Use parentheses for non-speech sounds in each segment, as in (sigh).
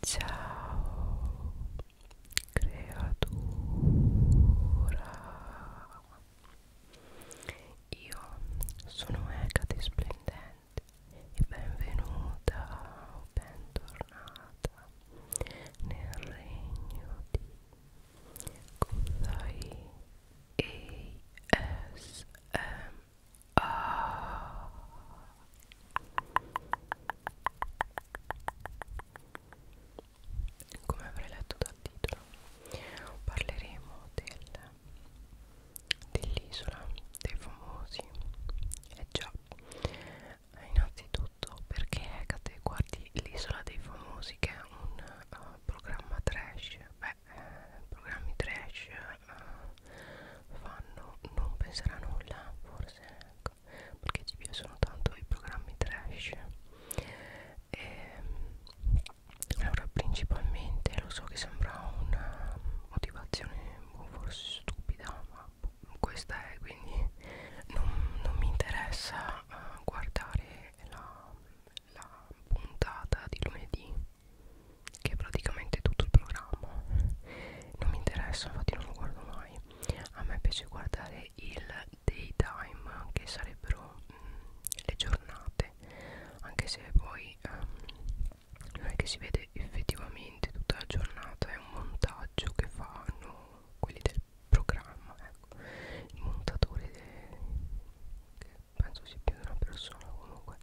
Ciao creatura Io sono Egate Splendente e benvenuta o bentornata nel regno di Kuzai A come avrei letto dal titolo parleremo del, dell'isola dei famosi e eh già innanzitutto perché Hecate guardi l'isola dei famosi che è un uh, programma trash beh eh, programmi trash uh, fanno non pensare a nulla forse ecco, perché ci piacciono tanto i programmi trash e, ehm, allora principalmente lo so che sembra una motivazione forse stupida ma questa è quindi non, non mi interessa uh, guardare la, la puntata di lunedì che è praticamente tutto il programma non mi interessa infatti non lo guardo mai a me piace guardare il daytime che sarebbero mh, mm, le giornate anche se poi um, non è che si vede effettivamente tutta la giornata è un montaggio che fanno quelli del programma ecco. il montatore che penso sia più di una persona comunque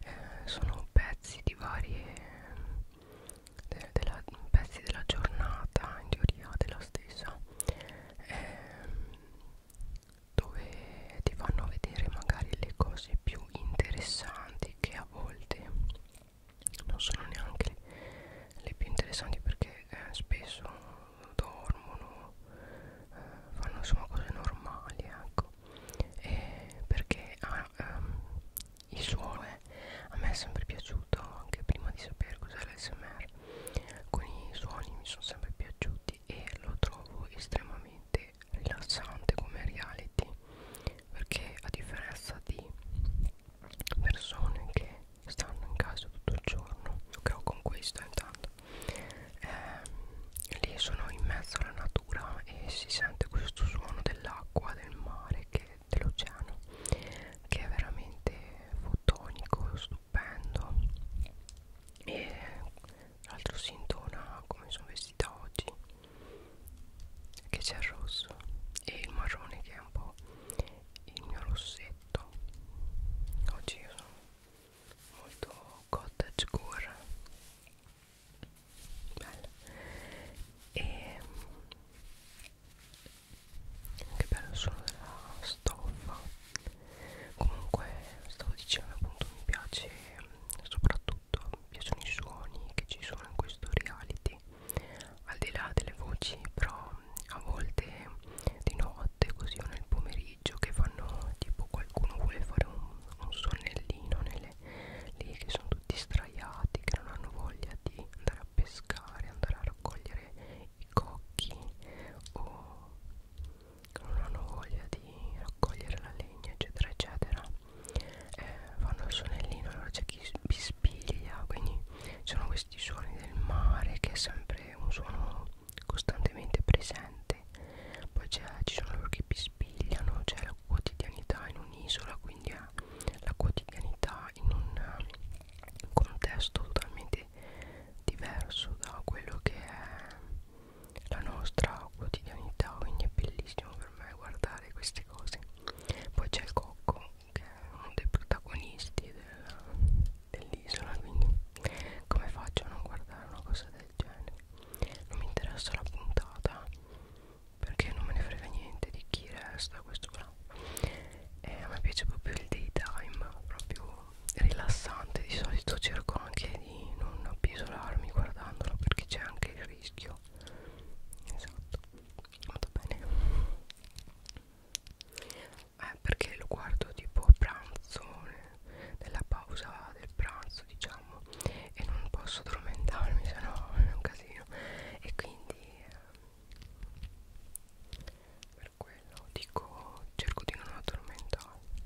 eh, sono pezzi di varie de, della, pezzi della giornata in teoria della stessa ehm, dove ti fanno vedere magari le cose più interessanti che a volte non sono neanche le più interessanti perché eh, spesso dormono eh, fanno insomma cose normali ecco e perché hanno ma ehm, il suono è, a me è sempre piaciuto anche prima di sapere cos'è l'SMR alcuni suoni mi sono sempre piaciuti e lo trovo estremamente rilassante come reality perché a differenza di persone che stanno in casa tutto il giorno che ho con questo intanto ehm, lì sono in mezzo alla natura temperatura e si sente questo suono dell'acqua, del mare, dell'oceano che è veramente fotonico, stupendo e tra l'altro si intona come sono vestita oggi che c'è il rosso e il marrone che è un po' il mio rossetto oggi io sono molto cottagecore bello e mm, che bello sono della stoffa comunque stavo dicendo appunto mi piace mm, soprattutto mi piacciono i suoni che ci sono in questo reality al di là delle voci però mm, a volte di notte così o nel pomeriggio che fanno tipo qualcuno vuole fare un, un sonnellino nel mele lì che sono tutti straiati che non hanno voglia di andare a pescare andare a raccogliere i cocchi o che non hanno voglia di raccogliere la legna eccetera eccetera eh, vanno al sonnellino allora c'è chi bispiglia quindi ci sono questi suoni del mare che è sempre un suono costantemente presente poi ci sono loro che bispigliano c'è la quotidianità in un'isola quindi è la quotidianità in eh, un contesto totalmente diverso da quello che è la nostra quotidianità quindi è bellissimo per me guardare queste cose poi c'è il cocco che è uno dei protagonisti dell'isola dell quindi come faccio a non guardare una cosa del genere non mi interessa la puntata perché non me ne frega niente di chi resta questo qua e eh, a me piace proprio il daytime proprio rilassante di solito cerco anche di non appisolarmi guardandolo perché c'è anche il rischio esatto vado bene eh, perché lo guardo tipo a pranzo nella pausa del pranzo diciamo diciamo e non posso addormentarmi se no è un casino e quindi eh, per quello dico cerco di non addormentarmi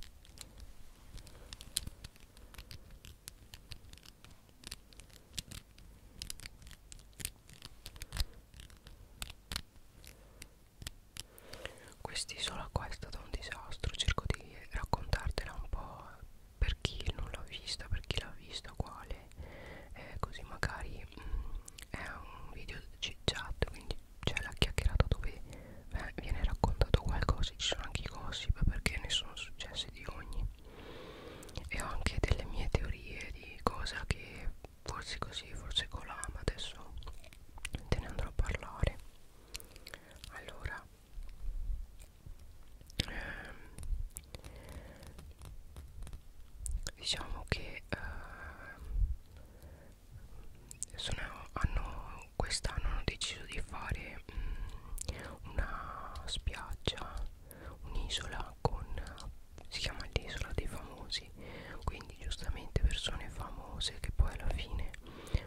quest'isola qua è stata un disastro cerco di raccontartela un po' per chi non l'ha vista, per chi l'ha vista uguale, eh, così magari mh, mm, è un video chat, quindi c'è la chiacchierata dove beh, viene raccontato qualcosa, ci sono anche i gossip perché ne sono successe di ogni e ho anche delle mie teorie di cosa che forse così, forse colà, ma adesso te ne andrò a parlare. Allora, Ehm, diciamo che eh, quest'anno hanno deciso di fare mh, mm, una spiaggia un'isola con si chiama l'isola dei famosi quindi giustamente persone famose che poi alla fine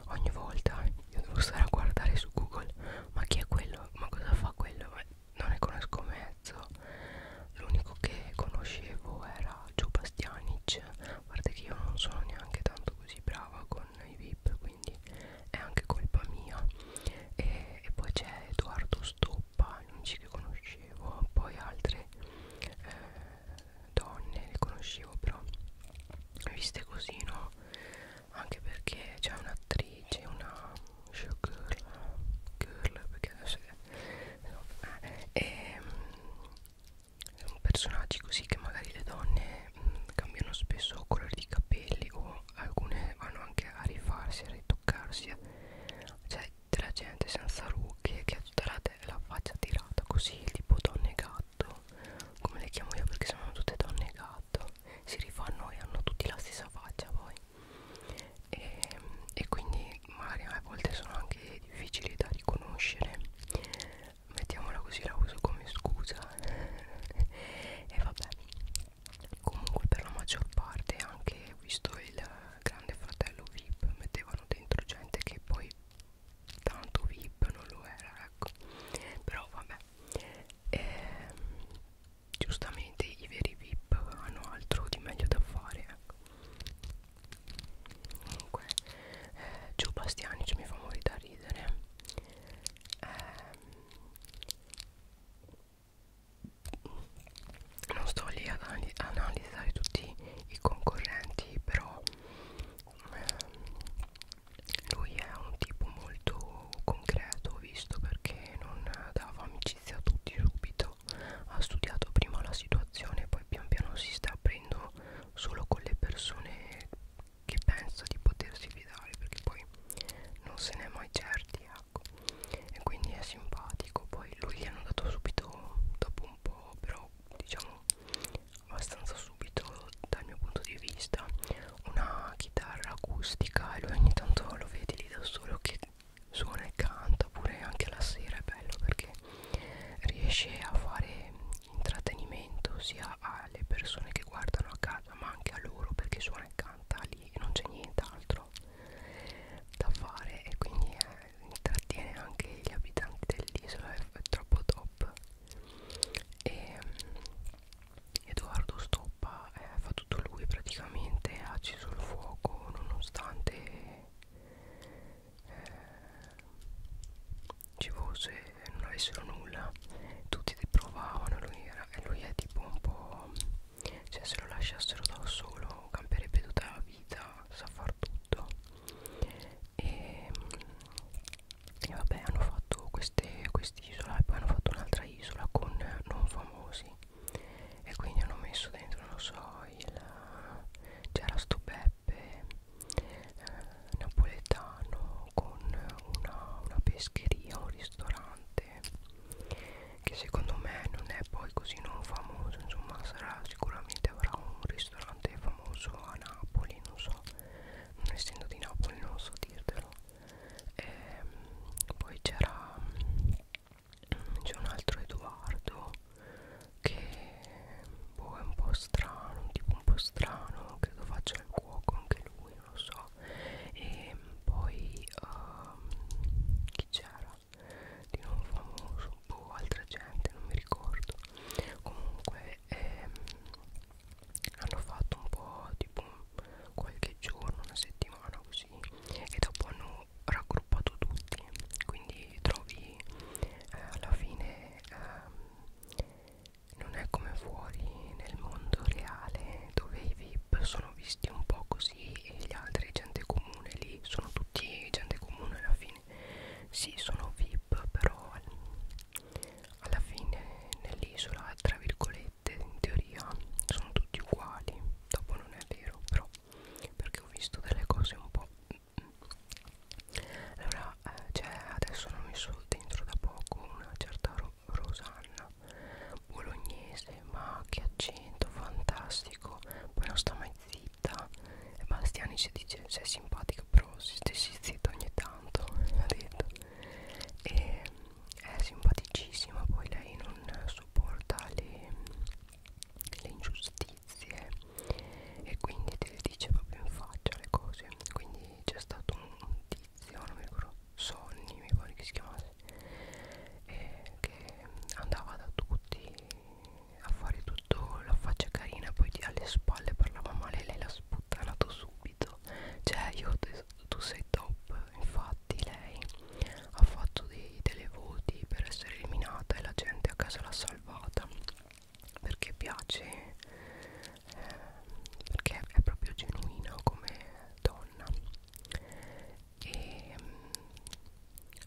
ogni volta io devo stare a guardare su google ma chi è quello ma cosa fa quello? Beh, non ne conosco mezzo l'unico che conoscevo era Joe Bastianic a parte che io non sono neanche tanto così brava con i VIP quindi è anche colpa mia e, e poi c'è Edoardo Stoppa non ci che conoscevo poi altre eh, donne le conoscevo però viste così no anche perché c'è un'attrice, una showgirl, girl, perché adesso è, no, eh, è ehm, un personaggio così che magari le donne mh, mm, cambiano spesso colore di capelli o alcune vanno anche a rifarsi, a ritoccarsi, cioè della gente senza rughe che ha tutta la, la faccia tirata così, tipo donne gatto, come le chiamo io perché sono tutte donne gatto si rifanno e hanno tutti la stessa faccia poi e, e quindi magari a volte sono anche difficili da riconoscere mettiamola così la uso come scusa (laughs) e vabbè comunque per la maggior parte anche visto il grande fratello VIP mettevano dentro gente che poi tanto VIP non lo era ecco però vabbè e, ehm, giustamente i veri VIP hanno altro di meglio da fare ecco. comunque eh, Gio Bastianic mi fa morire da ridere eh, non sto lì ad analizzare tutti i concorrenti però eh, lui è un tipo molto concreto ho visto perché non dava amicizia a tutti subito ha studiato prima la situazione poi pian piano si sta aprendo solo con le persone che pensa di potersi fidare perché poi non se ne è mai certi ecco e quindi è simpatico poi lui gli hanno dato subito dopo un po' però diciamo abbastanza subito dal mio punto di vista una chitarra acustica e ogni tanto lo vedi lì da solo che suona e canta pure anche la sera è bello perché riesce a fare intrattenimento sia alle persone che guardano a casa ma anche a loro perché suona e canta lì e non c'è nient'altro da fare e quindi eh, intrattiene anche gli abitanti dell'isola è troppo top e ehm, Edoardo Stoppa eh, fa tutto lui praticamente, ha acceso il fuoco nonostante eh, ci fosse, eh, non avessero nulla, tutti provavano, lui, era, e lui è tipo un po', cioè se lo lasciassero da solo camperebbe tutta la vita, sa far tutto. E, e vabbè hanno fatto quest'isola e poi hanno fatto un'altra isola con non famosi e quindi hanno messo dentro non so il c'era sto Beppe eh, napoletano con una, una pescheria un ristorante che secondo me non è poi così non famoso insomma sarà sicuramente avrà un ristorante famoso a Napoli non so non essendo di Napoli non so dirtelo e ehm, poi c'era mm, c'è un altro Edoardo che boh, è un po' strano un tipo un po' strano credo faccia il cuoco anche lui non lo so e ehm, poi uh, chi c'era di non famoso boh altra gente non mi ricordo comunque ehm, hanno fatto un po' tipo qualche giorno, una settimana così e dopo hanno raggruppato tutti quindi trovi eh, alla fine eh, non è come fuori nel mondo reale dove i VIP sono visti un po' così e gli altri gente comune lì sono tutti gente comune alla fine sì sono VIP però alla fine nell'isola tra virgolette etichette in teoria sono tutti uguali dopo non è vero però perché ho visto delle cose un po' mm. allora eh, cioè adesso hanno messo dentro da poco una certa ro Rosanna bolognese ma che accento fantastico poi non sta mai zitta e Bastiani ci dice sei simpatica però si stessi zitta ogni tanto (laughs) ha detto e è simpaticissima poi lei non sopporta le, le ingiustizie e quindi te le dice proprio in faccia le cose quindi c'è stato un tizio non mi ricordo Sonny mi pare che si chiamasse eh, che andava da tutti a fare tutto la faccia carina poi alle spalle parlava male lei la spugna trattato subito cioè io te, tu sei top infatti lei ha fatto dei televoti per essere eliminata e la gente a casa l'ha salvata perché piace eh, perché è proprio genuina come donna e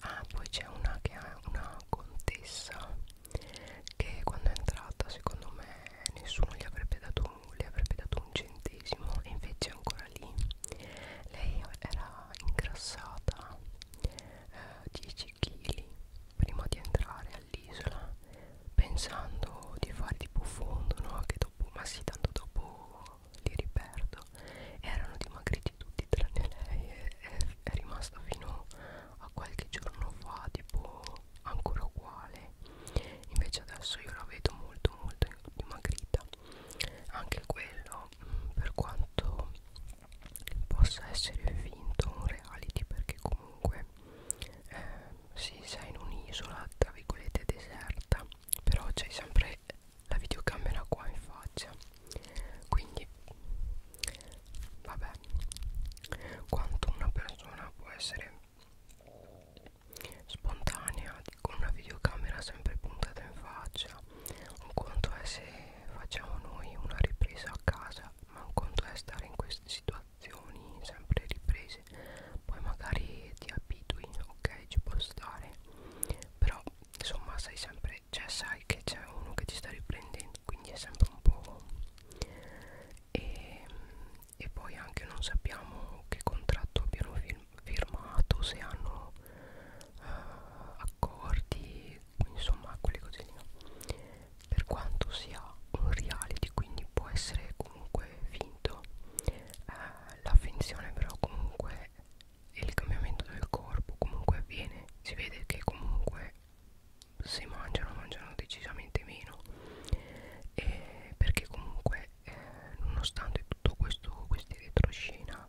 ah, poi c'è una che ha una contessa che quando è entrata secondo me nessuno gli avrebbe dato un le avrebbe dato un centesimo e invece è ancora lì lei era ingrassata eh, 10 kg prima di entrare all'isola pensando di fare tipo fondo no che dopo ma sì tanto dopo li riperdo erano dimagriti tutti tranne lei e, e è rimasto fino a qualche giorno fa tipo ancora uguale invece adesso io la vedo molto molto dimagrita anche quello mm, per quanto possa essere finto un reality perché comunque eh, si sei in un'isola tra virgolette deserta però c'è sempre la videocamera qua in faccia quindi vabbè quanto una persona può essere spontanea con una videocamera sempre puntata in faccia un conto è se facciamo noi una ripresa a casa ma un conto è stare in queste situazioni sempre riprese poi magari ti abitui ok ci può stare però insomma sei sempre cioè sai che c'è uno che ti sta riprendendo quindi è sempre un po' e, e poi anche non sappiamo che contratto abbiano firmato se hanno uh, accordi insomma quelle cose lì no? per quanto sia un reality quindi può essere comunque finto uh, la finzione però comunque e il cambiamento del corpo comunque avviene si vede che comunque se mangiano mangiano decisamente meno e perché comunque eh, nonostante tutto questo questi retroscena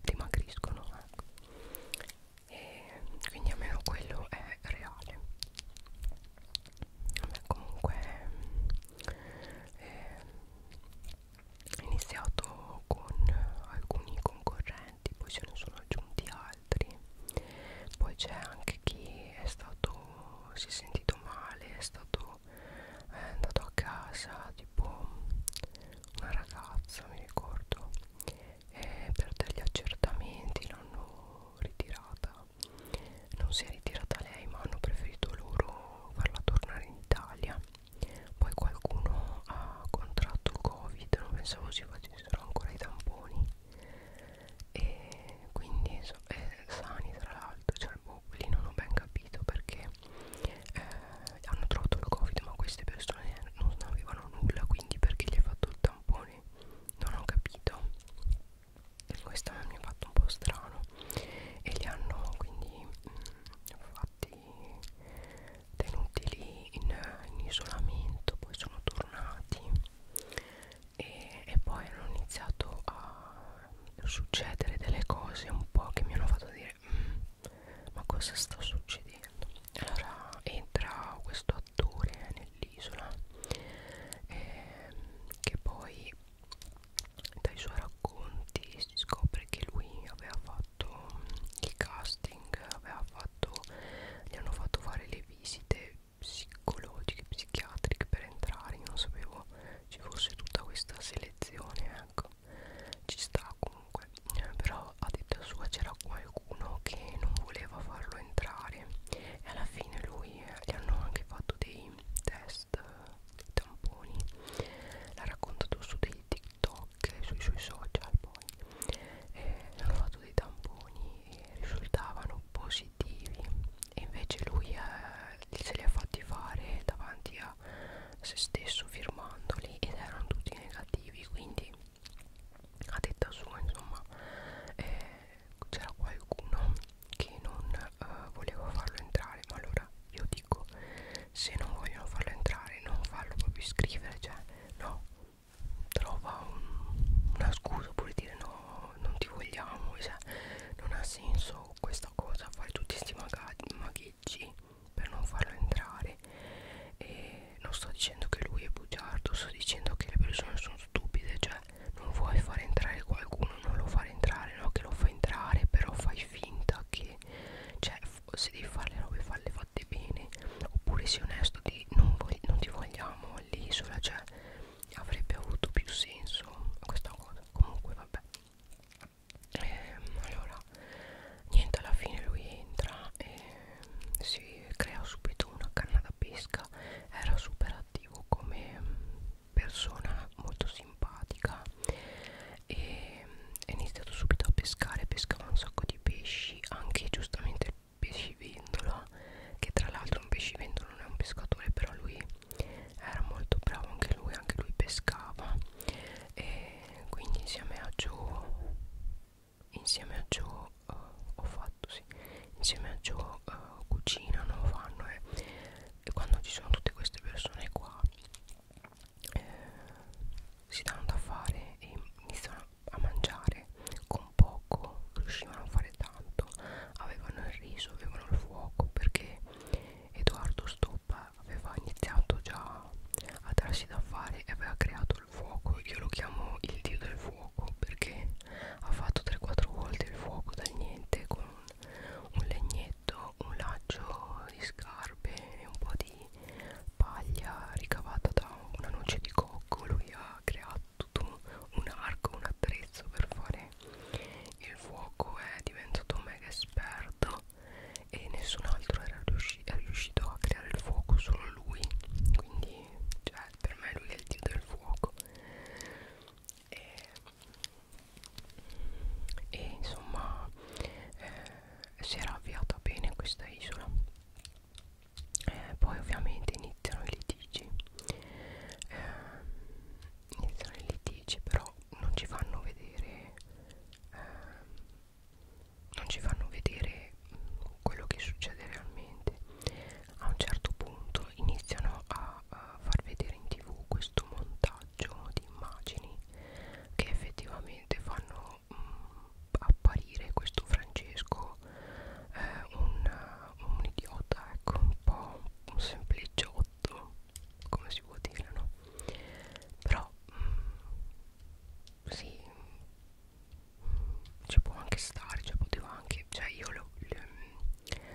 dimagriscono ecco. e quindi almeno quello è reale Beh, comunque eh, ho iniziato con alcuni concorrenti poi se ne sono aggiunti altri poi c'è anche chi è stato si è sentito gestito male, è stato è andato a casa tipo una ragazza, mi ricordo, e per degli accertamenti l'hanno ritirata. Non si è ritirata lei, ma hanno preferito loro farla tornare in Italia. Poi qualcuno ha contratto Covid, non pensavo si facessero ancora i tamponi e quindi so, è eh, sani tra l'altro cioè boh, lì non ho ben capito perché eh, hanno trovato il covid ma queste persone non avevano nulla quindi perché gli hai fatto il tampone non ho capito e questo mi ha fatto un po' strano e li hanno quindi mh, mm, fatti tenuti lì in, in isolamento poi sono tornati e, e poi hanno iniziato a succedere delle cose un po' che mi hanno fatto dire mm, ma cosa sta succedendo allora entra questo attore nell'isola eh, che poi dai suoi racconti si scopre che lui aveva fatto il casting aveva fatto gli hanno fatto fare le visite psicologiche, psichiatriche per entrare, io non sapevo ci fosse tutta questa selezione, ecco, ci sta comunque, però a detta sua c'era qualcuno che non voleva farlo entrare e alla fine lui eh, gli hanno anche fatto dei test, dei tamponi, l'ha raccontato su dei TikTok, sui suoi social poi, eh, hanno fatto dei tamponi e risultavano positivi positivi e invece lui eh, se li ha fatti fare davanti a se stesso firmandoli ed erano tutti negativi quindi a detta sua insomma eh, c'era qualcuno che non eh, voleva farlo entrare ma allora io dico se non vogliono farlo entrare non farlo proprio iscrivere cioè no trova un, una scusa oppure dire no no non ti vogliamo cioè, non ha senso questa cosa fare tutti questi magheggi per non farlo entrare e non sto dicendo che lui è bugiardo sto dicendo che le persone sono stupide cioè non vuoi far entrare qualcuno non lo fare entrare no che lo fa entrare però fai finta che cioè se devi fare le robe falle fatte bene oppure sei onesto di non, non ti vogliamo all'isola cioè avrebbe avuto più senso questa cosa comunque vabbè ehm, allora niente alla fine lui entra e si crea subito una canna da pesca era super attivo come persona molto simpatica e è iniziato subito a pescare pescava un sacco di pesci anche giustamente il pescivendola che tra l'altro un pescivendola non è un pescatore però lui era molto bravo anche lui anche lui pescava e quindi insieme a Joe insieme a Joe uh, ho fatto sì insieme a Joe uh, cucinano fanno e, e quando ci sono tutte queste persone qua eh, si danno da fare e iniziano a mangiare con poco riuscivano a fare tanto avevano il riso, avevano il fuoco perché Edoardo Stoppa aveva iniziato già a darsi da fare e aveva creato il fuoco, io lo chiamo il dio del fuoco perché ha fatto 3-4 volte il fuoco dal niente con un legnetto, un laccio di scarpe e un po' di paglia ricavata da una noce di cocco, lui ha creato tutto un, un arco, un attrezzo per fare il fuoco è diventato mega esperto e nessun altro era riuscito, è riuscito a creare il fuoco, solo lui quindi cioè, per me lui è il dio del fuoco e, e insomma eh, si era avviata bene questa isola eh, poi ovviamente iniziano i litigi eh, iniziano i litigi però non ci fanno vedere ehm, non ci fanno vedere quello che succede realmente a un certo punto iniziano a, a far vedere in tv questo montaggio di immagini che effettivamente fanno mh, mm, apparire questo Francesco eh, un un idiota, ecco, un po' un sempliciotto, come si può dire, no? Però mh, mm, sì, ci può anche stare, cioè poteva anche, cioè io lo, lo,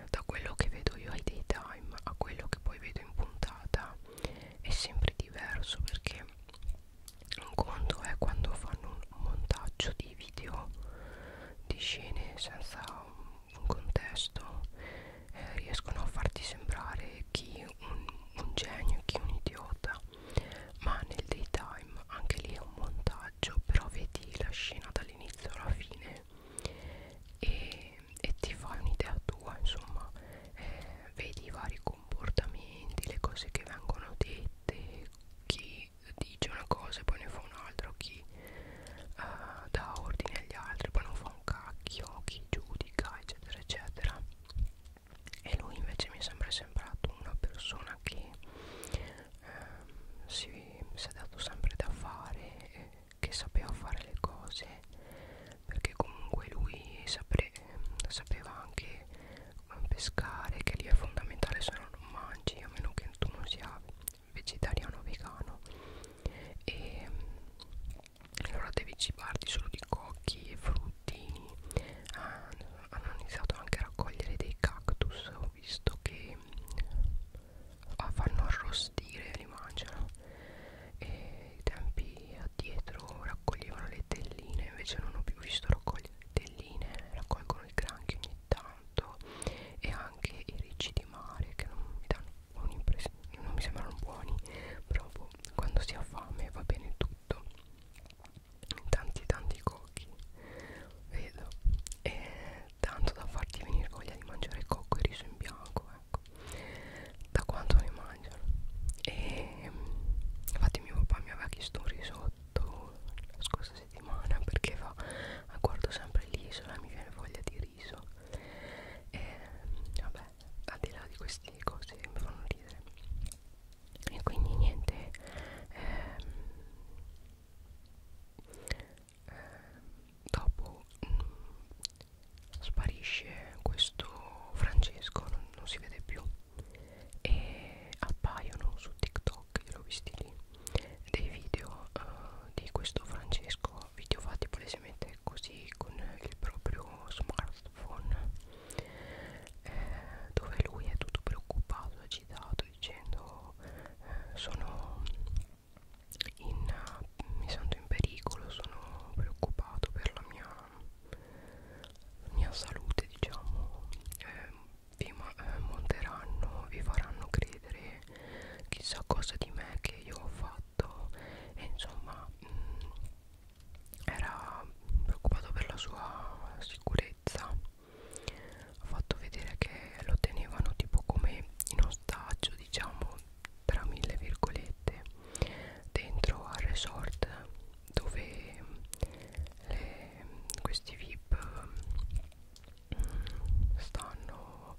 da quello che vedo io ai daytime a quello che poi vedo in puntata è sempre diverso perché un conto è quando fanno un montaggio di video di scene senza un contesto eh, riescono a farti sembrare chi un, un genio, chi un idiota ma nel daytime anche lì è un montaggio però vedi la scena dall'inizio alla fine e, e ti fai un'idea tua insomma eh, vedi i vari comportamenti le cose che vengono dette chi chi dice una cosa e poi ne fa un'altra o chi uh, dà ordine agli altri poi non fa un cacchio chi giudica eccetera eccetera e lui invece mi sembra sembrato una persona che uh, si, si è dato sempre da fare eh, che sapeva fare le cose perché comunque lui sapre, sapeva anche eh, pescare che lì è fondamentale se no non mangi a meno che tu non sia vegetariano vegano e allora devi cibarti solo di cocchi e fruttini ah, hanno iniziato anche a raccogliere dei cactus ho visto che ah, fanno arrostire e li mangiano e i tempi addietro raccoglievano le telline invece non ho più visto raccogliere le telline raccolgono il granchio ogni tanto tanto e anche i ricci di mare che non mi danno un'impressione non mi sembrano buoni però quando si ha fame va bene tutto tanti tanti cocchi vedo e tanto da farti venire voglia di mangiare cocco e riso in bianco ecco da quanto ne mangiano e ehm, infatti mio papà mi aveva chiesto un risotto la scorsa questa settimana perché va, guardo sempre l'isola e mi viene voglia di riso e vabbè al di là di queste cose mi fanno ridere e quindi niente ehm, eh, dopo mh, mm, sparisce questo Francesco non, non si vede più e appaiono su TikTok TikTok, io l'ho visti lì dei video uh, di questo Francesco, video fatti palesemente così con il proprio smartphone eh, dove lui è tutto preoccupato, agitato dicendo eh, sono in, uh, mi sento in pericolo, sono preoccupato per la mia, la mia salute diciamo eh, vi eh, monteranno, vi faranno credere chissà cosa di me che io ho fatto e insomma mh, mm, era preoccupato per la sua sicurezza ha fatto vedere che lo tenevano tipo come in ostaggio diciamo tra mille virgolette dentro al resort dove mm, le, questi VIP mm, stanno video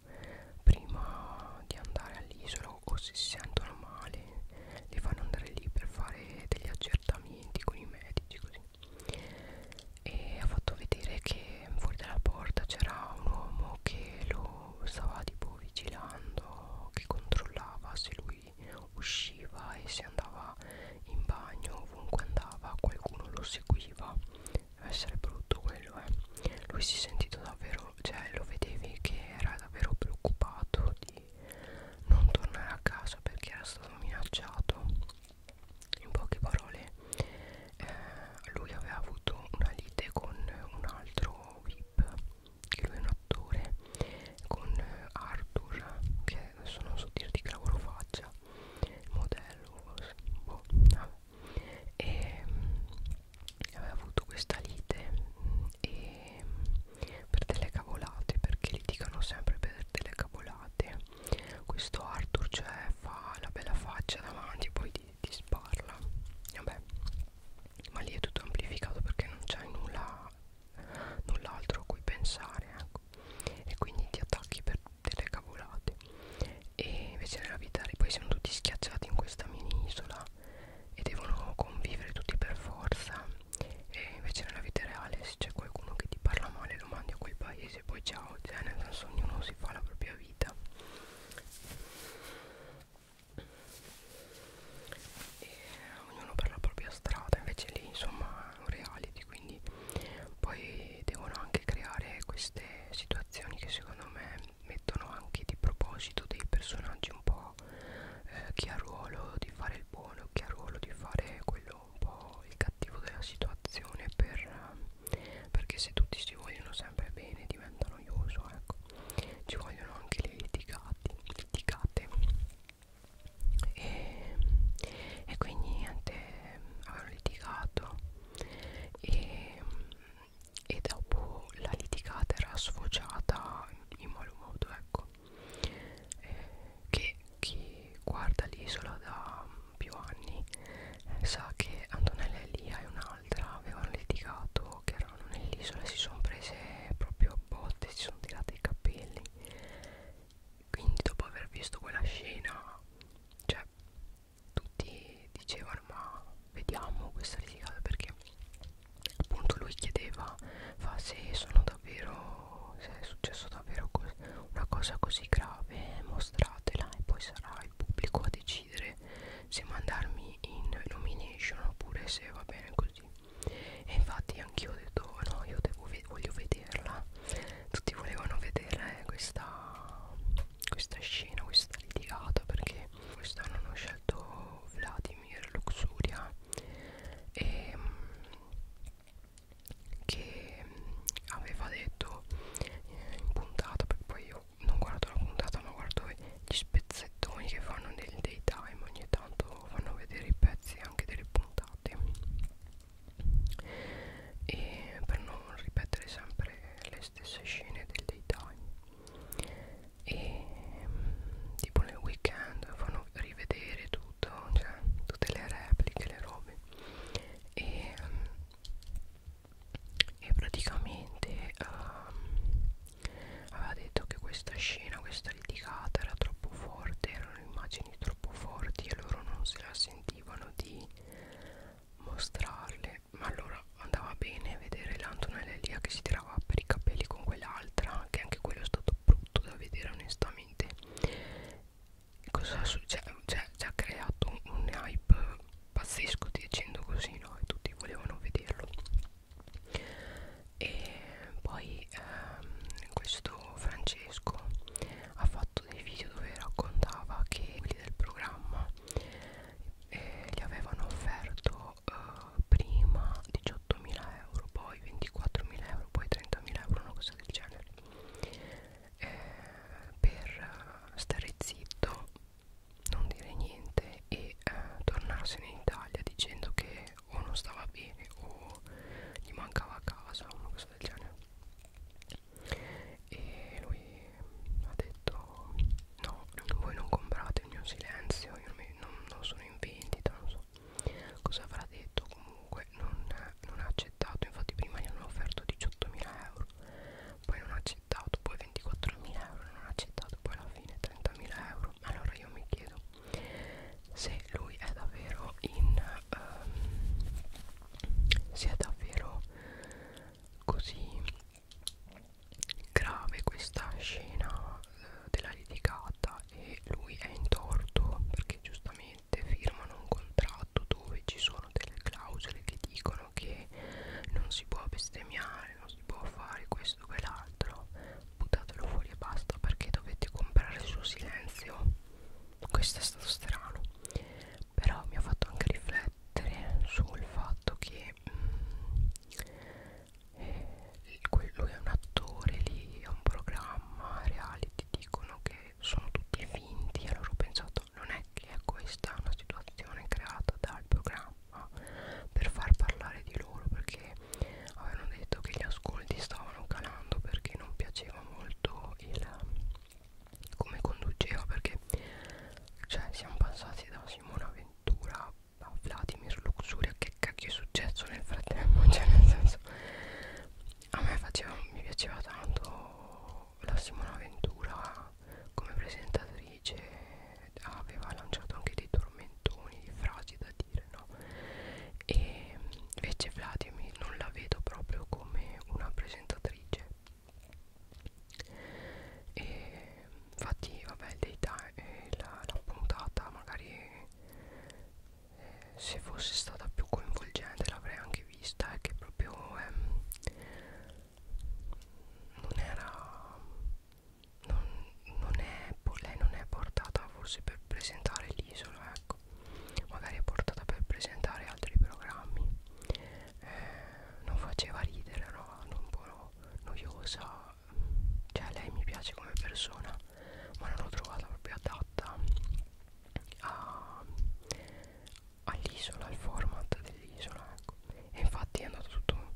prima di andare all'isola o se si sentono male li fanno andare lì per fare degli accertamenti con i medici così e ha fatto vedere che fuori dalla porta c'era un uomo che lo stava tipo vigilando che controllava se lui usciva e se andava in bagno ovunque andava qualcuno lo seguiva deve essere brutto quello eh lui si è sentito davvero cioè lo vedevi che era davvero preoccupato di non tornare a casa perché era stato minacciato in poche parole eh, lui aveva avuto una lite con un altro VIP che lui è un attore con Arthur che adesso non so dirti che lavoro faccia modello boh, ah, e aveva avuto questa lite e, per delle cavolate perché litigano sempre per delle cavolate questo Arthur cioè fa la bella faccia davanti e poi ti, ti sparla vabbè ma lì è tutto amplificato perché non c'è nulla null'altro a cui pensare ecco. e quindi ti attacchi per delle cavolate e invece nella vita poi siamo tutti schiacciati in questa mini isola e devono convivere tutti per forza e invece nella vita reale se c'è qualcuno che ti parla male lo mandi a quel paese e poi ciao cioè nel senso ognuno si fa la propria vita e ognuno per la propria strada invece lì insomma è un reality quindi poi devono anche creare queste situazioni narrazioni che secondo me mettono anche di proposito dei personaggi un po' eh, chi ha ruolo di fare il buono, chi ha ruolo di fare quello un po' il cattivo della situazione per, eh, perché se tutti si vogliono sempre bene diventa noioso, ecco. Ci vogliono anche le litigate, litigate. E, e quindi niente, avevano litigato e, e dopo la litigata era sfociata in malo modo ecco eh, che chi guarda l'isola da più anni eh, sa che Antonella Elia e un'altra avevano litigato che erano nell'isola e si sono prese proprio botte si sono tirate i capelli quindi dopo aver visto quella scena cioè tutti dicevano ma vediamo questa litigata perché appunto lui chiedeva fa se sono davvero se è successo davvero una cosa così grave mostratela e poi sarà il pubblico a decidere se mandarmi in nomination oppure se va bene così e infatti anch'io ho detto no io devo, voglio vederla tutti volevano vedere eh, questa, questa scena, questa litigata perché quest'anno hanno scelto Vladimir Luxuria e, ehm, che mm, aveva detto eh, in puntata, perché poi io non guardo la puntata ma guardo gli spezzettoni che fanno nel daytime ogni tanto fanno vedere i pezzi anche delle puntate e per non ripetere sempre le stesse scene del daytime e mm, tipo nel weekend fanno rivedere tutto cioè tutte le repliche le robe e, mm, e praticamente um, aveva detto che questa scena questa litigata era troppo forte erano immagini troppo forti e loro non se la sentivano di mostrarle ma allora andava bene vedere l'Antonella Elia che si tirava per i capelli con quell'altra che anche quello è stato brutto da vedere onestamente cosa succede cioè, cioè ci ha creato un hype pazzesco dicendo così no e tutti volevano vederlo e poi ehm, questo Francesco ha fatto fatto dei video dove raccontava che quelli del programma eh, gli avevano offerto eh, prima 18.000 euro, poi 24.000 euro, poi 30.000 euro, una cosa del genere eh, per eh, stare zitto, non dire niente e eh, tornarsene in Italia dicendo che o non stava bene o gli mancava a casa, una cosa del genere e lui ha detto no voi non comprate il mio silenzio io non, mi, non, non sono in vendita non so cosa avrà detto comunque non, non ha accettato infatti prima gli hanno offerto 18.000 euro poi non ha accettato poi 24.000 euro non ha accettato poi alla fine 30.000 euro allora io mi chiedo se lui è davvero in um, ehm, si è davvero così grave questa scena eh, della litigata e lui è in torto perché giustamente firmano un contratto dove ci sono delle clausole che dicono che non si può bestemmiare, non si può fare questo e l'altro buttatelo fuori e basta perché dovete comprare il suo silenzio questo è stato strano però mi ha fatto anche riflettere sul fatto che mh, mm, eh, lui è un attore lì, è un programma reality, dicono che sono tutti finti, allora ho pensato non è che è questa una situazione creata dal programma per far parlare di loro perché avevano detto che gli ascolti stavano calando perché non piaceva molto il come conduceva perché cioè siamo passati da Simona Ventura a Vladimir Luxuria che cacchio è successo nel frattempo (laughs) cioè nel senso a me faceva, mi piaceva tanto la Simona Ventura come presentatrice aveva lanciato anche dei tormentoni di frasi da dire no e invece Vladimir non la vedo proprio come una presentatrice e infatti vabbè daytime, eh, la, la puntata magari eh, se fosse stata più coinvolgente l'avrei anche vista è eh, che proprio ehm, non era non, non è, lei non è portata forse per presentare l'isola ecco magari è portata per presentare altri programmi eh, non faceva ridere, era no? un po' noiosa, cioè lei mi piace come persona, ma non l'ho trovata proprio adatta all'isola, al format dell'isola, ecco. E infatti è andato tutto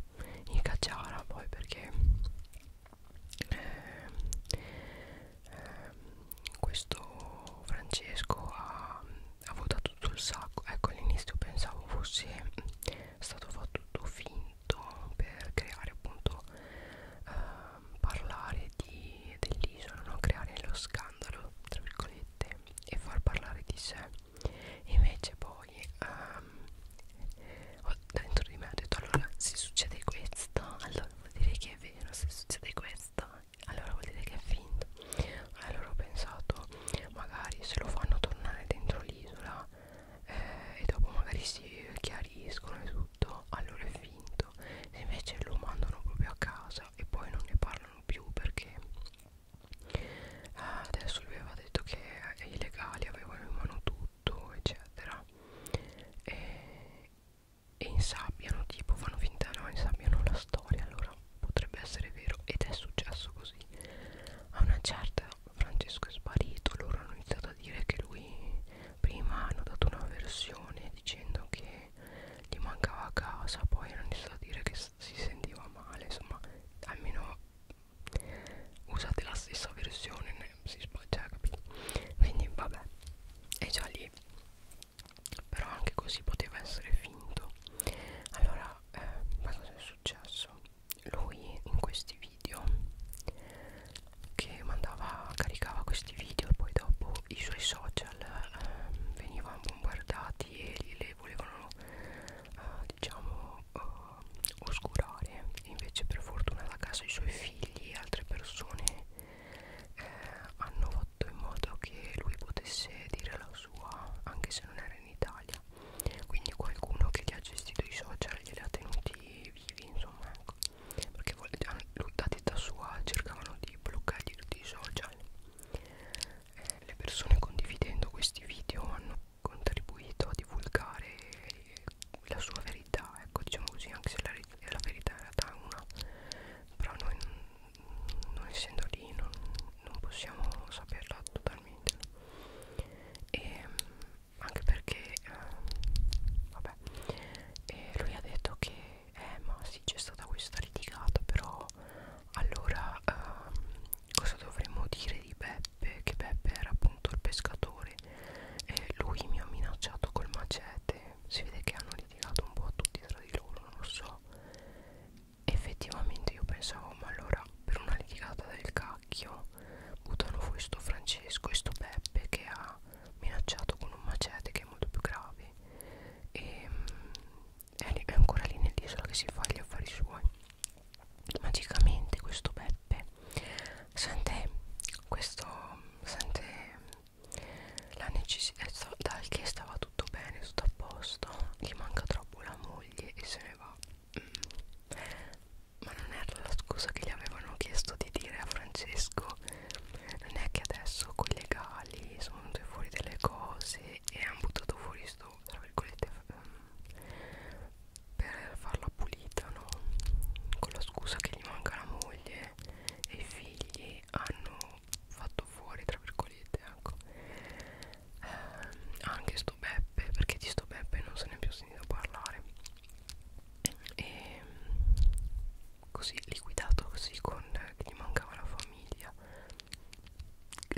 in cacciara poi perché... Eh, eh, questo Francesco ha, ha votato tutto il sacco ecco all'inizio pensavo fosse stato fatto tutto finto per creare appunto eh, parlare dell'isola no? creare lo scandalo tra virgolette e far parlare di sé invece poi ehm, dentro di me ho detto allora se succede questo (laughs) allora vuol dire che è vero se succede questo mai allora vuol dire che è finto allora ho pensato magari se lo fanno tornare dentro l'isola eh, e dopo magari si chiariscono e tutto allora è finto se invece lo mandano proprio a casa e poi non ne parlano più perché ah, adesso lui aveva detto che i legali avevano in mano tutto eccetera e, e insabbiano tipo fanno finta no insabbiano la storia allora potrebbe essere vero ed è successo così a una certa Francesco è sparito loro hanno iniziato a dire che lui prima hanno dato una versione dicendo che gli mancava a casa poi hanno iniziato a dire che si sentiva male insomma almeno usate la stessa versione ne, si sbaglia cioè, capito quindi vabbè e già lì però anche così poteva essere finto allora eh, ma cosa è successo lui in questi video che mandava caricava questi video e poi dopo i suoi social eh, venivano bombardati e li volevano eh, diciamo eh, oscurare invece per fortuna da casa i suoi figli e altre persone eh, hanno fatto in modo che lui potesse dire la sua anche se non era in Italia quindi qualcuno che gli ha gestito i social glieli ha tenuti vivi insomma ecco perché lui da testa sua cercavano di bloccargli tutti i social eh, le persone condividendo questi video hanno contribuito a divulgare la sua verità ecco diciamo così anche se la, la verità in realtà è una però noi non essendo lì non, non possiamo saperla totalmente e anche perché eh, vabbè e lui ha detto che eh ma sì c'è stata questa litigata però allora eh, cosa dovremmo dire di Beppe che Beppe era appunto il pescatore e lui mi ha minacciato col macete si vede che hanno litigato un po' tutti tra di loro non lo so effettivamente io pensavo ma allora per una litigata del cacchio buttano fuori sto Francesco e sto Beppe che ha minacciato con un macete che è molto più grave e ehm, è, lì, è ancora lì nell'isola che si fa gli affari suoi magicamente questo Beppe sente questo sente la necessità eh, dal che stava tutto bene tutto a posto gli manca troppo la moglie e se ne va mm. ma non era la scusa che gli avevano chiesto di dire a Francesco non è che adesso con i legali sono venute fuori delle cose e hanno buttato fuori sto tra virgolette ehm, per farla pulita no con la scusa che gli manca la moglie e i figli hanno fatto fuori tra virgolette ecco ehm, anche sto Beppe perché di sto Beppe non se ne è più sentito parlare e così liquidato così con eh, che gli mancava la famiglia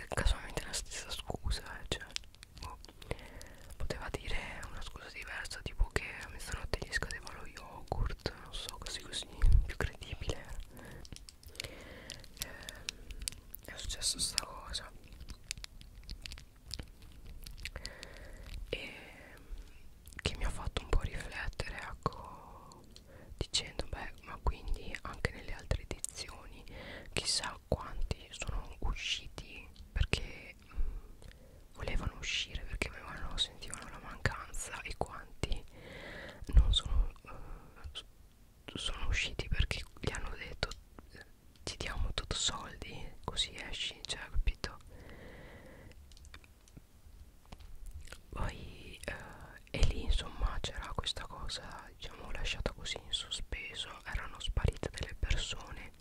casualmente la stessa scusa eh, cioè boh. poteva dire una scusa diversa tipo che a mezzanotte gli scadeva lo yogurt non so così così più credibile eh, è successo sta cosa e che mi ha fatto un po' riflettere ecco dicendo beh ma quindi anche nelle altre edizioni chissà quanti sono usciti perché mh, volevano uscire perché avevano sentivano la mancanza e quanti non sono eh, sono usciti perché gli hanno detto ti diamo tutto soldi così esci cioè capito poi eh, e lì insomma c'era questa cosa diciamo lasciata così in sospeso erano sparite delle persone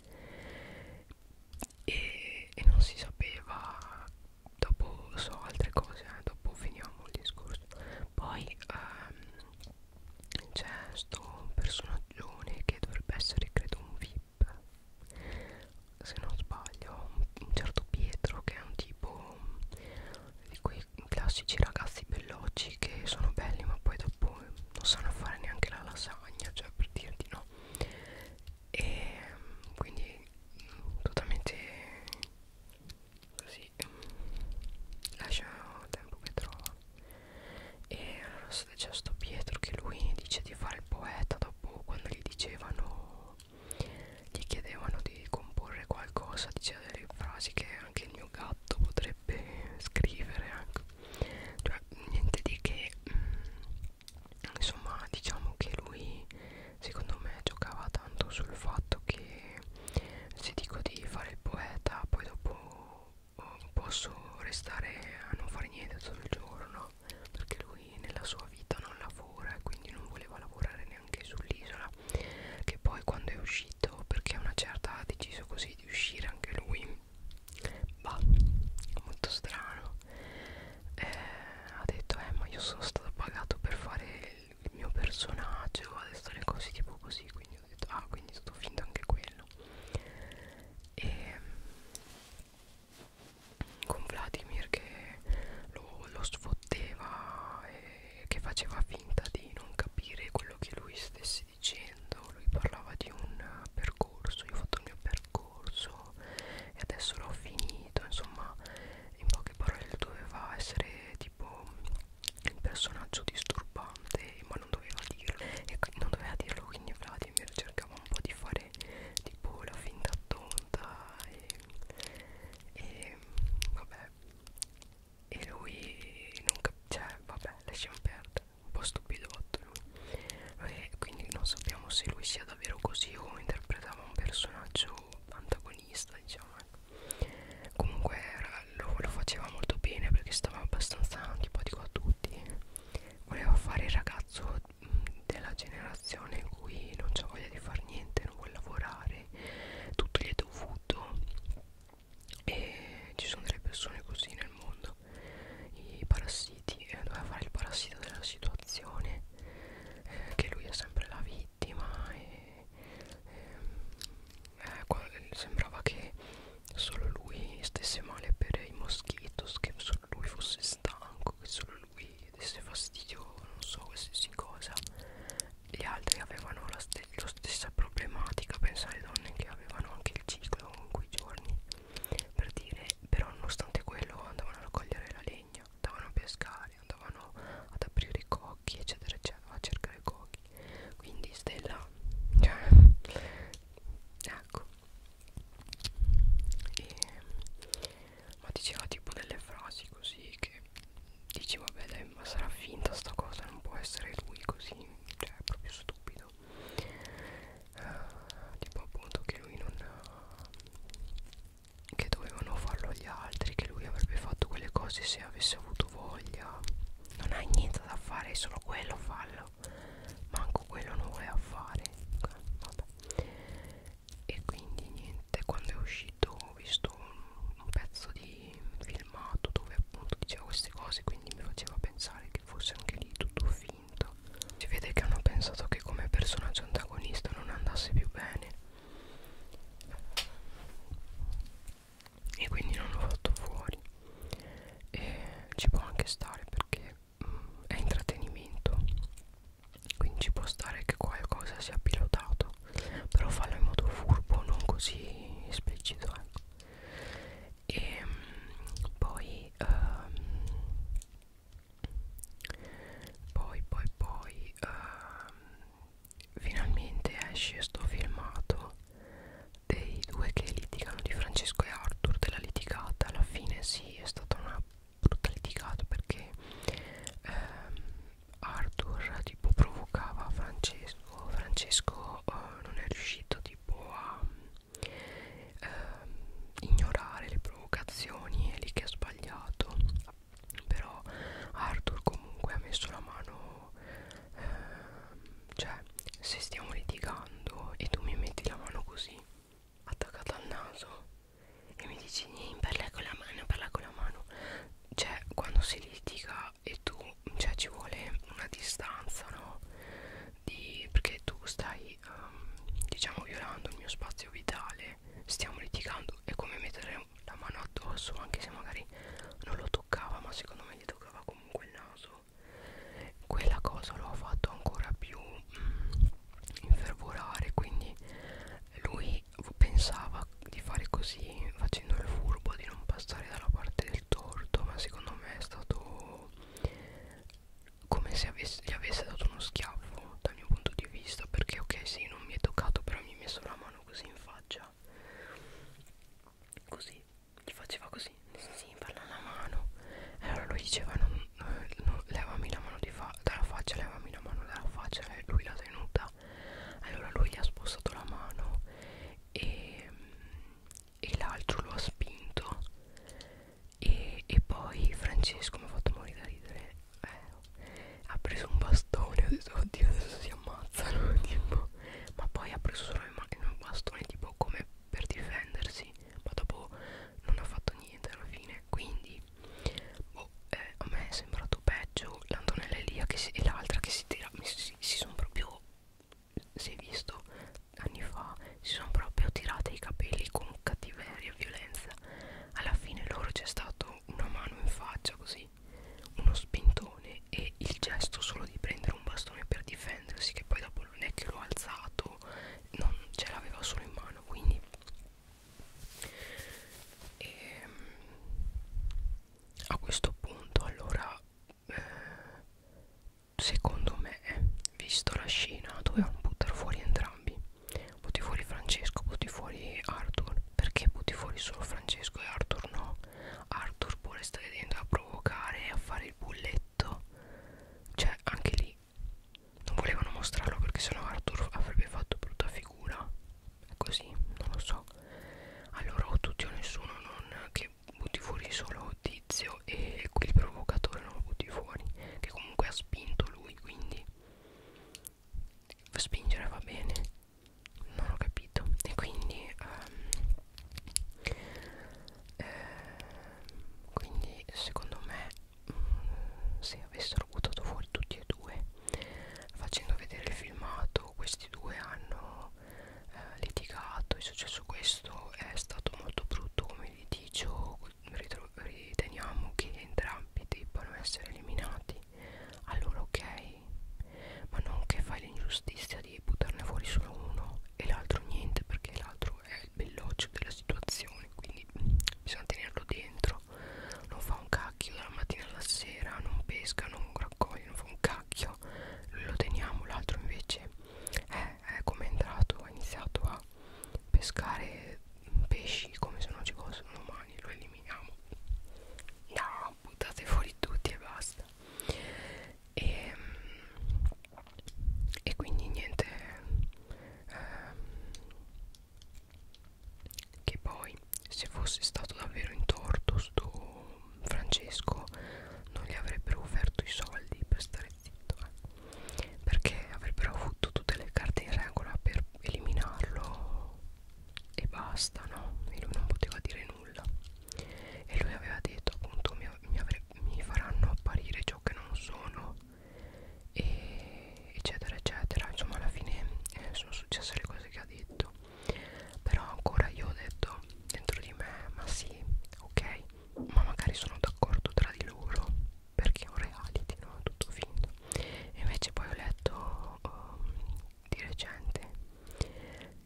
e, e non si sapeva dopo so altre cose eh, dopo finiamo il discorso poi ehm, c'è sto personaggio che dovrebbe essere credo un vip se non sbaglio un certo Pietro che è un tipo uhm, di quei classici ragazzi veloci che sono belli ma poi dopo non sanno fare neanche la lasagna cioè per dirti no e quindi totalmente così lascia tempo che trova e allora c'è sto Pietro che lui dice di fare il poeta dopo quando gli dicevano gli chiedevano di comporre qualcosa diceva delle frasi che anche il mio gatto potrebbe scrivere anche ecco. cioè niente di che mh, insomma diciamo che lui secondo me giocava tanto sul fatto che se dico di fare il poeta poi dopo oh, posso restare a non fare niente tutto il giorno perché lui nella sua vita non lavora e quindi non voleva lavorare neanche sull'isola che poi quando è uscito perché una certa ha deciso così di uscire anche lui bah molto strano eh, ha detto eh ma io sono stato pagato per fare il mio personaggio adesso le cose tipo così quindi ho detto ah quindi sto finto anche quello e ehm, con Vladimir che lo, lo sfotteva e che faceva finta di non capire quello che lui stesse dicendo lui parlava di un percorso io ho fatto il mio percorso e adesso l'ho finito insomma in poche parole doveva essere tipo il personaggio disturbante ma non doveva dirlo e non doveva dirlo quindi Vladimir cercava un po' di fare tipo la finta tonta e, e vabbè e lui non capiva cioè vabbè lasciamo perdere un po' stupidotto lui e quindi non sappiamo se lui sia davvero così o interpretava un personaggio antagonista pianista diciamo comunque era, lo, lo faceva molto bene perché stava abbastanza antipatico a tutti voleva fare il ragazzo mm, della generazione in cui non c'è voglia di fare niente non vuole lavorare tutto gli è dovuto e ci sono delle persone così nel mondo i parassiti eh, doveva fare il parassita della situazione eh, che lui è sempre la vita vittima e, e, eh, sembrava che solo lui stesse male per i moschitos che solo lui fosse stanco che solo lui desse fastidio non so qualsiasi cosa gli altri avevano la, st la stessa problematica pensa alle donne che avevano anche il ciclo in quei giorni per dire però nonostante quello andavano a raccogliere la legna andavano a pescare vari andavano ad aprire i cocchi eccetera eccetera a cercare i cocchi quindi Stella cioè ecco e, ma diceva tipo delle frasi così che dici vabbè dai ma sarà finta sta cosa non può essere lui così cioè è proprio stupido uh, tipo appunto che lui non che dovevano farlo gli altri che lui avrebbe fatto quelle cose se avesse avuto voglia non hai niente da fare solo quello fallo manco quello non vuoi a fare Vabbè. e quindi niente quando è uscito ho visto un, un pezzo di filmato dove appunto diceva queste cose quindi mi faceva pensare che fosse anche lì tutto finto si vede che hanno pensato che come personaggio antagonista non andasse più bene e quindi non l'ho fatto fuori e ci può anche stare perché mh, mm, è intrattenimento quindi ci può stare che qualcosa sia pilotato però fallo in modo furbo non così esplicito ecco e mh, mm, poi um, poi poi poi um, finalmente esce sto filmato dei due che litigano di Francesco e Arthur della litigata alla fine sì è stata una brutta litigata perché ehm, Arthur tipo provocava Francesco Francesco eh, non è riuscito tipo a ehm, ignorare le provocazioni è lì che ha sbagliato però Arthur comunque ha messo la mano eh, cioè se stiamo litigando e tu mi metti la mano così attaccata al naso e mi dici parla con la mano parla con la mano cioè quando si litiga e tu cioè ci vuole una distanza no di, perché tu stai um, diciamo violando il mio spazio vitale stiamo litigando è come mettere mettere la mano addosso anche se magari non lo toccava ma secondo me gli toccava comunque il naso quella cosa lo ha fatto ancora più mm, infervorare quindi lui pensava di fare così facendo il furbo di non passare dalla parte del torto ma secondo me è stato come se avesse, gli avesse dato uno schiaffo dal mio punto di vista perché ok sì non mi è toccato però mi mi ha messo la mano così in faccia così gli faceva così sì sì parla la mano e allora lui diceva non, non, non, levami la mano fa dalla faccia levami la mano dalla faccia e lui l'ha tenuta allora lui gli ha spostato la mano e, e l'altro lo ha spinto e, e poi Francesco mi ha fatto morire da ridere eh, ha preso un bastone ho detto oddio adesso si ammazzano (laughs) tipo. ma poi ha preso solo un bastone tipo come per difendersi ma dopo non ha fatto niente alla fine quindi boh, eh, a me è sembrato peggio l'Antonella Elia che si, e l'altra che si tira si, si sono proprio si è visto anni fa si sono proprio tirate i capelli con cattiveria e violenza alla fine loro c'è stato dava una mano in faccia così uno spintone e il gesto solo di prendere un bastone per difendersi che poi dopo non è che l'ho alzato non ce l'aveva solo in mano quindi e, ehm, a questo punto allora eh, secondo me visto la scena dovevano buttare fuori entrambi butti fuori Francesco, butti fuori Arthur perché butti fuori solo Francesco e Arthur no? Arthur vuole stare dentro a provocare e a fare il bulletto cioè anche lì non volevano mostrarlo perché sennò Arthur avrebbe fatto brutta figura è così, non lo so allora o tutti o nessuno non che butti fuori solo Tizio e quel provocatore non lo butti fuori che comunque ha spinto lui quindi spingere va bene non ho capito e quindi um, eh, quindi secondo me mh, mm, se avessero buttato fuori tutti e due facendo vedere il filmato questi due hanno eh, litigato è successo questo è stato molto brutto come litigio riteniamo che entrambi debbano essere eliminati allora ok ma non che fai l'ingiustizia di buttarne fuori solo uno e l'altro niente perché l'altro è il belloccio della situazione quindi bisogna tenerlo dentro non fa un cacchio dalla mattina alla sera non pesca non raccoglie non fa un cacchio lo teniamo l'altro invece è, eh, è come è entrato ha iniziato a pescare pesci come se non ci fossero domani lo eliminiamo eliminiamo no buttate fuori tutti e basta e, ehm, e quindi niente ehm, che poi se fosse stato davvero in torto sto Francesco non gli avrebbero offerto i soldi per stare zitto eh? perché avrebbero avuto tutte le carte in regola per eliminarlo e basta no e lui non poteva dire nulla e lui aveva detto appunto mi, mi, mi faranno apparire ciò che non sono e eccetera eccetera insomma alla fine eh, sono successe le cose che ha detto però ancora io ho detto dentro di me ma sì ok ma magari sono d'accordo tra di loro perché è un reality no tutto finto e invece poi ho letto um, di recente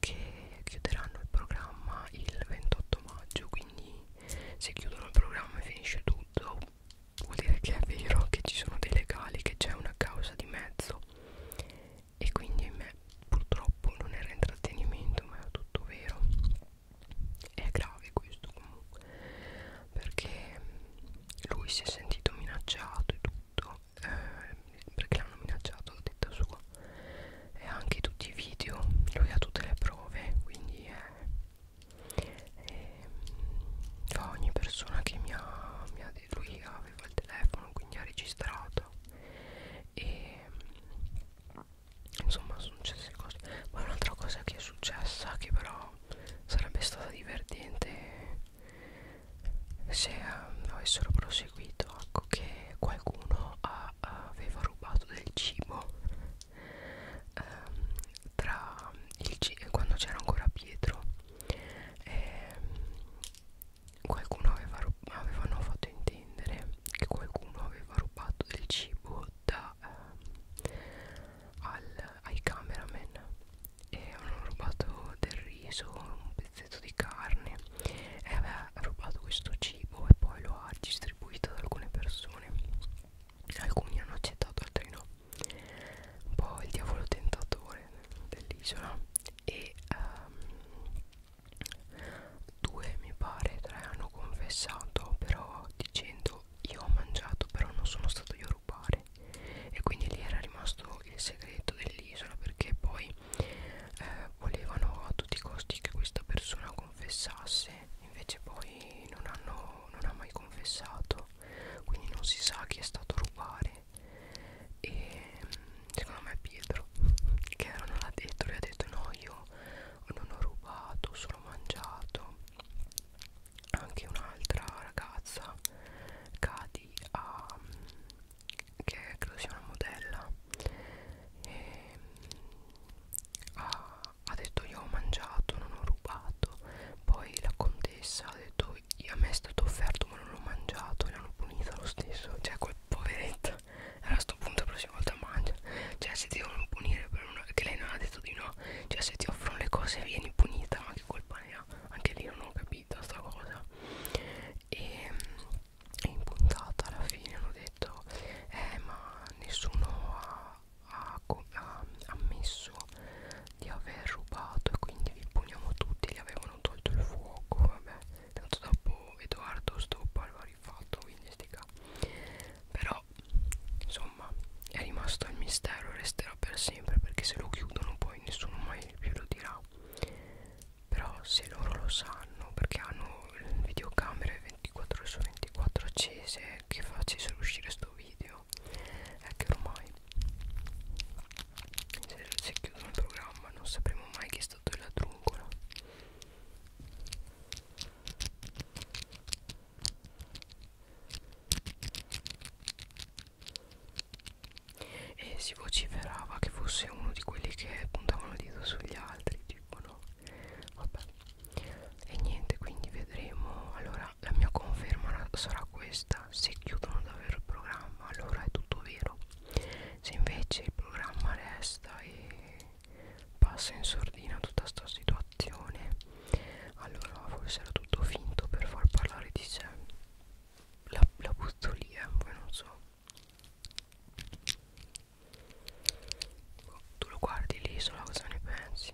che chiuderanno il programma il 28 maggio quindi se chiudono il programma e finisce tutto vuol dire che è vero che ci sono dei legali che c'è una causa di mezzo e quindi in me purtroppo non era intrattenimento ma è tutto vero è grave questo comunque perché lui si è sentito minacciato e tutto eh, perché l'hanno minacciato detta sua e anche tutti i video lui ha tutte le prove quindi eh, eh, ogni persona che mi ha, mi ha detto lui aveva il telefono quindi ha registrato e insomma sono successe cose poi un'altra cosa che è successa che però sarebbe stata divertente se eh, avessero proseguito ecco che qualcuno ha, aveva rubato del cibo ehm, tra il cibo quando c'era ancora Pietro ehm, qualcuno aveva avevano fatto intendere che qualcuno aveva rubato del cibo da, ehm, al, ai cameraman e hanno rubato del riso, un pezzetto di carne e aveva rubato questo cibo e poi lo ha distribuito ad alcune persone alcuni hanno accettato, altri no un po' il diavolo tentatore dell'isola e um, due mi pare, tre hanno confessato però dicendo io ho mangiato però non sono stato io rubare e quindi lì era rimasto il segreto dell'isola perché poi eh, volevano a tutti i costi che questa persona confessasse invece poi non, hanno, non ha mai confessato quindi non si sa chi è stato a rubare e secondo me Pietro che non l'ha detto lui ha detto no io non ho rubato ho solo mangiato anche un'altra ragazza Cadi a, che credo sia una modella e, ha, ha detto io ho mangiato non ho rubato poi la contessa ha detto a me è stato offerto ma non l'ho mangiato e l'hanno punita lo stesso cioè quel poveretta (laughs) allora a sto punto la prossima volta mangia cioè se ti devono punire per una che lei non ha detto di no cioè se ti offrono le cose vieni punita ma che colpa ne ha anche lì non ho capito sta cosa e in puntata alla fine hanno detto eh ma nessuno ha, ha, ha ammesso di aver rubato e quindi vi puniamo tutti gli avevano tolto il fuoco vabbè tanto dopo Edoardo stoppa il rifatto quindi stica però insomma insomma è rimasto il mistero e resterà per sempre perché se lo chiudono poi nessuno mai più lo dirà però se loro lo sanno perché hanno videocamere 24 ore su 24 accese che facessero uscire sto video è che ormai se, se chiudono il programma non sapremo mai chi è stato il ladruncola e si vociferava che fosse uno di quelli che puntavano il dito sugli altri tipo no vabbè e niente quindi vedremo allora la mia conferma sarà questa se chiudono davvero il programma allora è tutto vero se invece il programma resta e passa in sordina tutta sta situazione allora forse era tutto finto per far parlare di sé la, la butto lì eh, poi non so boh, tu lo guardi l'isola cosa ne pensi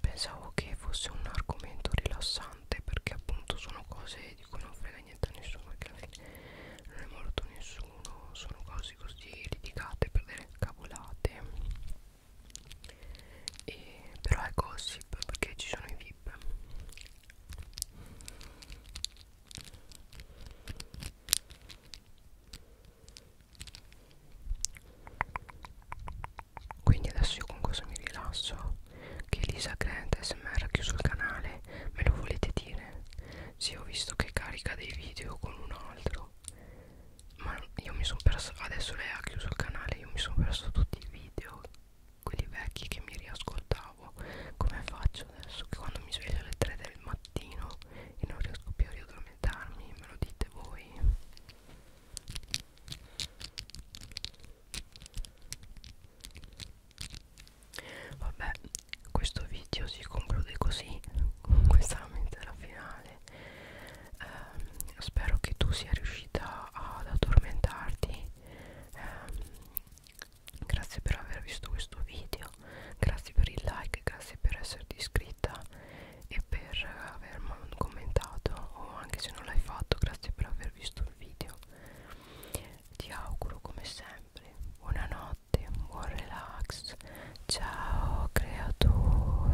pensavo che fosse un argomento rilassante perché appunto sono cose di cui non frega niente a nessuno perché alla fine non è morto nessuno sono cose così litigate per delle cavolate e, però è ecco, gossip perché ci sono i vip quindi adesso io con cosa mi rilasso che Elisa Grant smr ha chiuso il canale me lo volete dire? sì ho visto che carica dei video con un altro ma io mi sono perso adesso lei ha chiuso il canale io mi sono perso tutti i video ero quelli vecchi che mi riascoltavo come faccio adesso che quando mi sveglio alle 3 del mattino e non riesco più a riaddormentarmi me lo dite voi vabbè questo video si conclude così (laughs) questa è la finale ehm, spero che tu sia riuscita ad addormentarti ehm, grazie per aver visto questo video grazie per il like grazie per esserti iscritta e per aver commentato o anche se non l'hai fatto grazie per aver visto il video ti auguro come sempre buonanotte buon relax ciao creatura